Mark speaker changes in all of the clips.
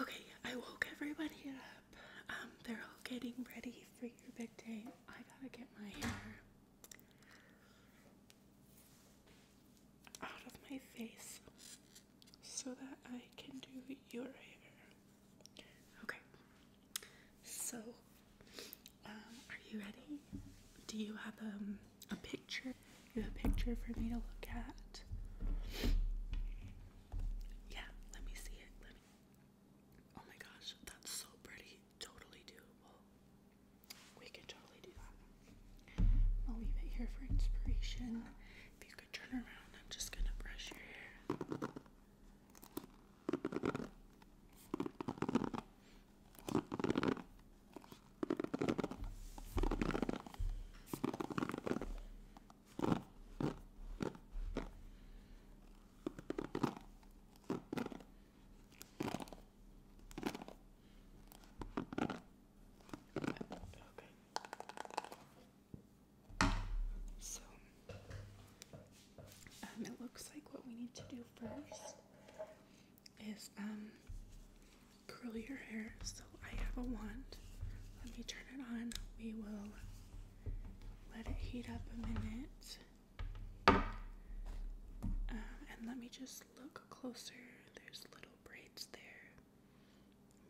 Speaker 1: Okay, I woke everybody up. Um, they're all getting ready for your big day. I gotta get my hair out of my face so that I can do your hair. Okay, so um, are you ready? Do you have um, a picture? You have a picture for me to look at? Yeah, let me see it. Oh my gosh, that's so pretty. Totally doable. We can totally do that. I'll leave it here for inspiration. If you could turn around, I'm just gonna brush your hair. So, um, it looks like what we need to do first is um curl your hair. So I have a wand. Let me turn it on. We will let it heat up a minute. Uh, and let me just look closer. There's little braids there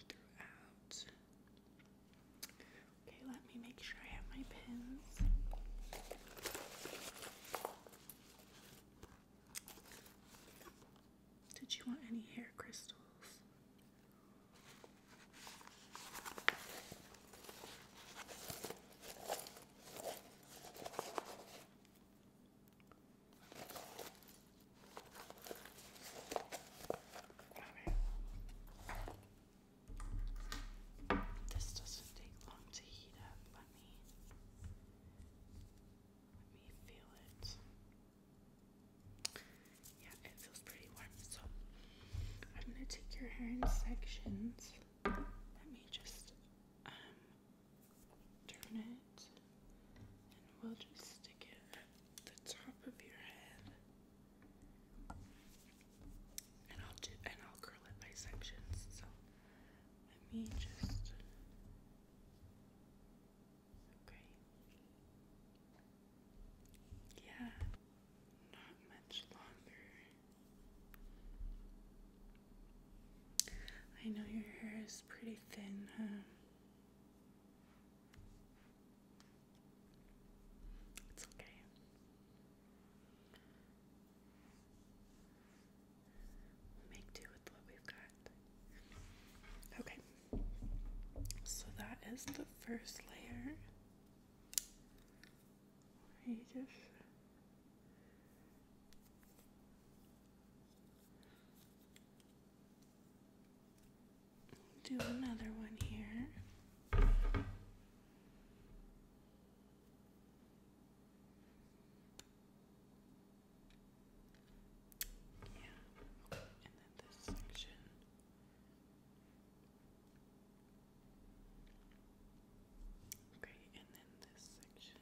Speaker 1: throughout. Okay, let me make sure I have my pins. Did you want any hair crystals? This doesn't take long to heat up. Let me let me feel it. Yeah, it feels pretty warm. So I'm gonna take your hair in sections. Let me just um, turn it and we'll just stick it at the top of your head. And I'll do and I'll curl it by sections. So let me just Okay. Yeah, not much longer. I know your hair is pretty thin, It's okay. Okay, so that is the first layer. You just do another one here. Yeah. And then this section. Okay, and then this section.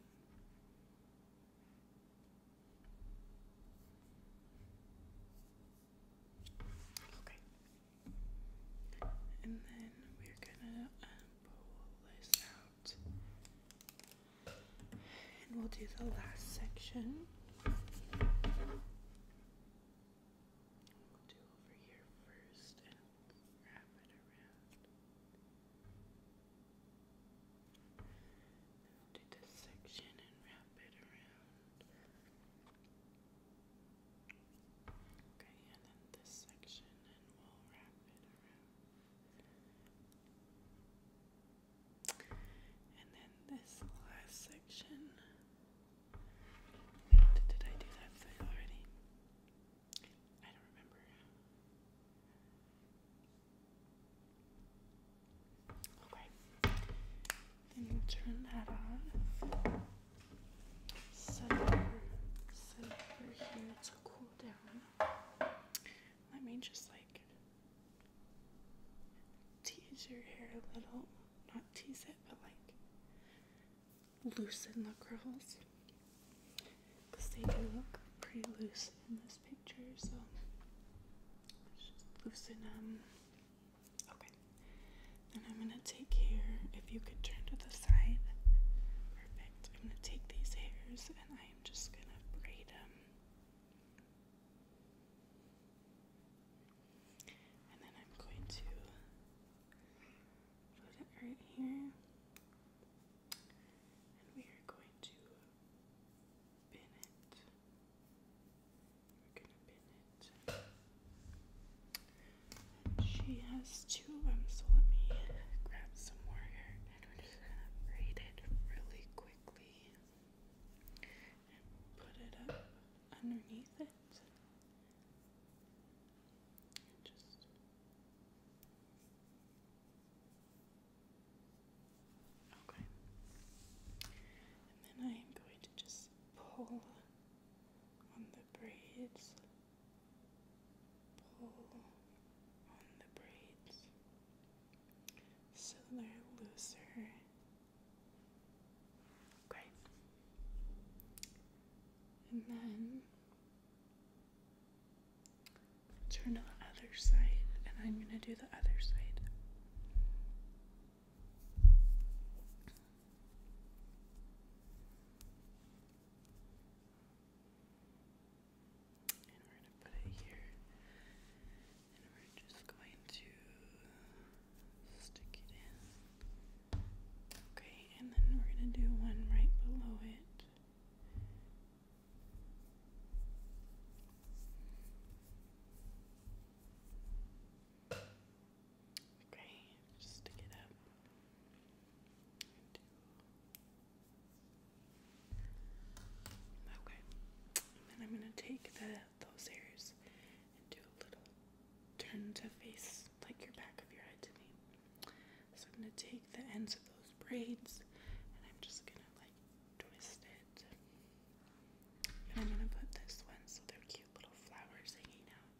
Speaker 1: Okay. And then we're gonna um, pull this out. And we'll do the last section. We'll do over here first and wrap it around. do this section and wrap it around. Okay, and then this section and we'll wrap it around. And then this last section. Did I do that thing already? I don't remember. Okay. Then we turn that off. Set over, set over here to cool down. Let me just like tease your hair a little. Not tease it, but like loosen the curls. they do look pretty loose in this picture, so just loosen them. Okay. And I'm going to take care. if you could turn to the side or I'm going to take these hairs and I am just going to braid them. And then I'm going to put it right here. And we are going to pin it. We're going to pin it. She has two of them, um, so let me grab some more here and we're just gonna braid it really quickly and put it up underneath it. just Okay. And then I am going to just pull on the braids pull on the braids so they're looser. Okay. And then turn to the other side, and I'm going to do the other side. And we're going to put it here. And we're just going to stick it in. Okay, and then we're going to do one right below it. Okay, just stick it up. Okay. then I'm gonna take the those hairs and do a little turn to face like your back of your head to me. So I'm gonna take the ends of those braids and I'm just gonna like twist it. And I'm gonna put this one so they're cute little flowers hanging out.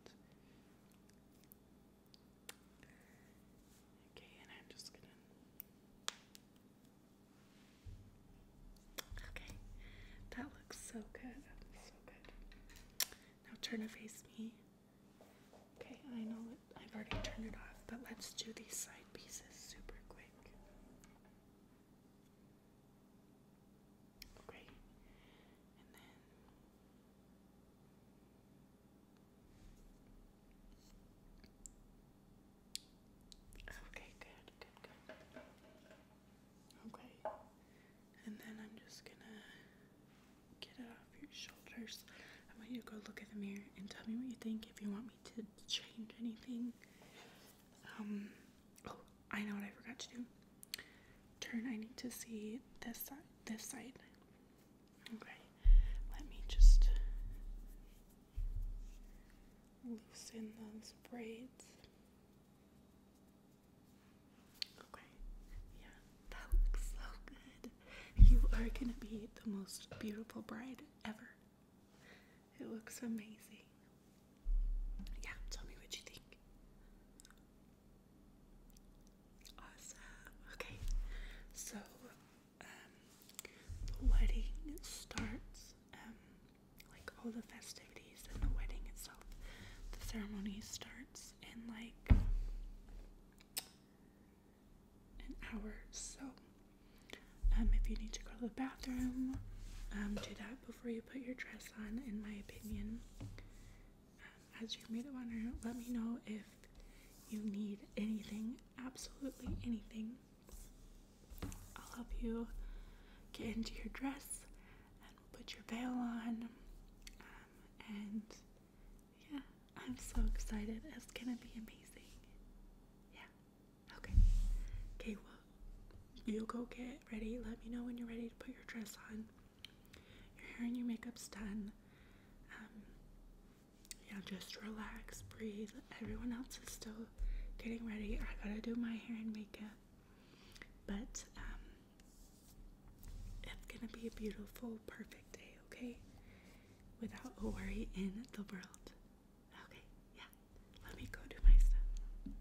Speaker 1: Okay, and I'm just gonna. Okay, that looks so good. So good. Now turn to face me. Okay, I know it, I've already turned it off, but let's do these side pieces super quick. Okay. And then Okay, good, good, good. Okay. And then I'm just gonna get it off your shoulders. I want you to go look at the mirror and tell me what you think if you want me to change anything. Um oh, I know what I forgot to do turn. I need to see this side. This side. Okay. Let me just loosen those braids. Okay. Yeah, that looks so good. You are gonna be the most beautiful bride ever. It looks amazing. Yeah, tell me what you think. Awesome. Okay, so um, the wedding starts, um, like all the festivities and the wedding itself. The ceremony starts in like an hour, so um, if you need to go to the bathroom, um, do that before you put your dress on, in my opinion. Um, as your maid of honor, let me know if you need anything, absolutely anything. I'll help you get into your dress and put your veil on. Um, and yeah, I'm so excited. It's gonna be amazing. Yeah. Okay. Okay, you go get ready. Let me know when you're ready to put your dress on. Your hair and your makeup's done. Um, yeah, just relax, breathe. Everyone else is still getting ready. I gotta do my hair and makeup, but um, it's gonna be a beautiful, perfect day, okay? Without a worry in the world. Okay, yeah. Let me go do my stuff.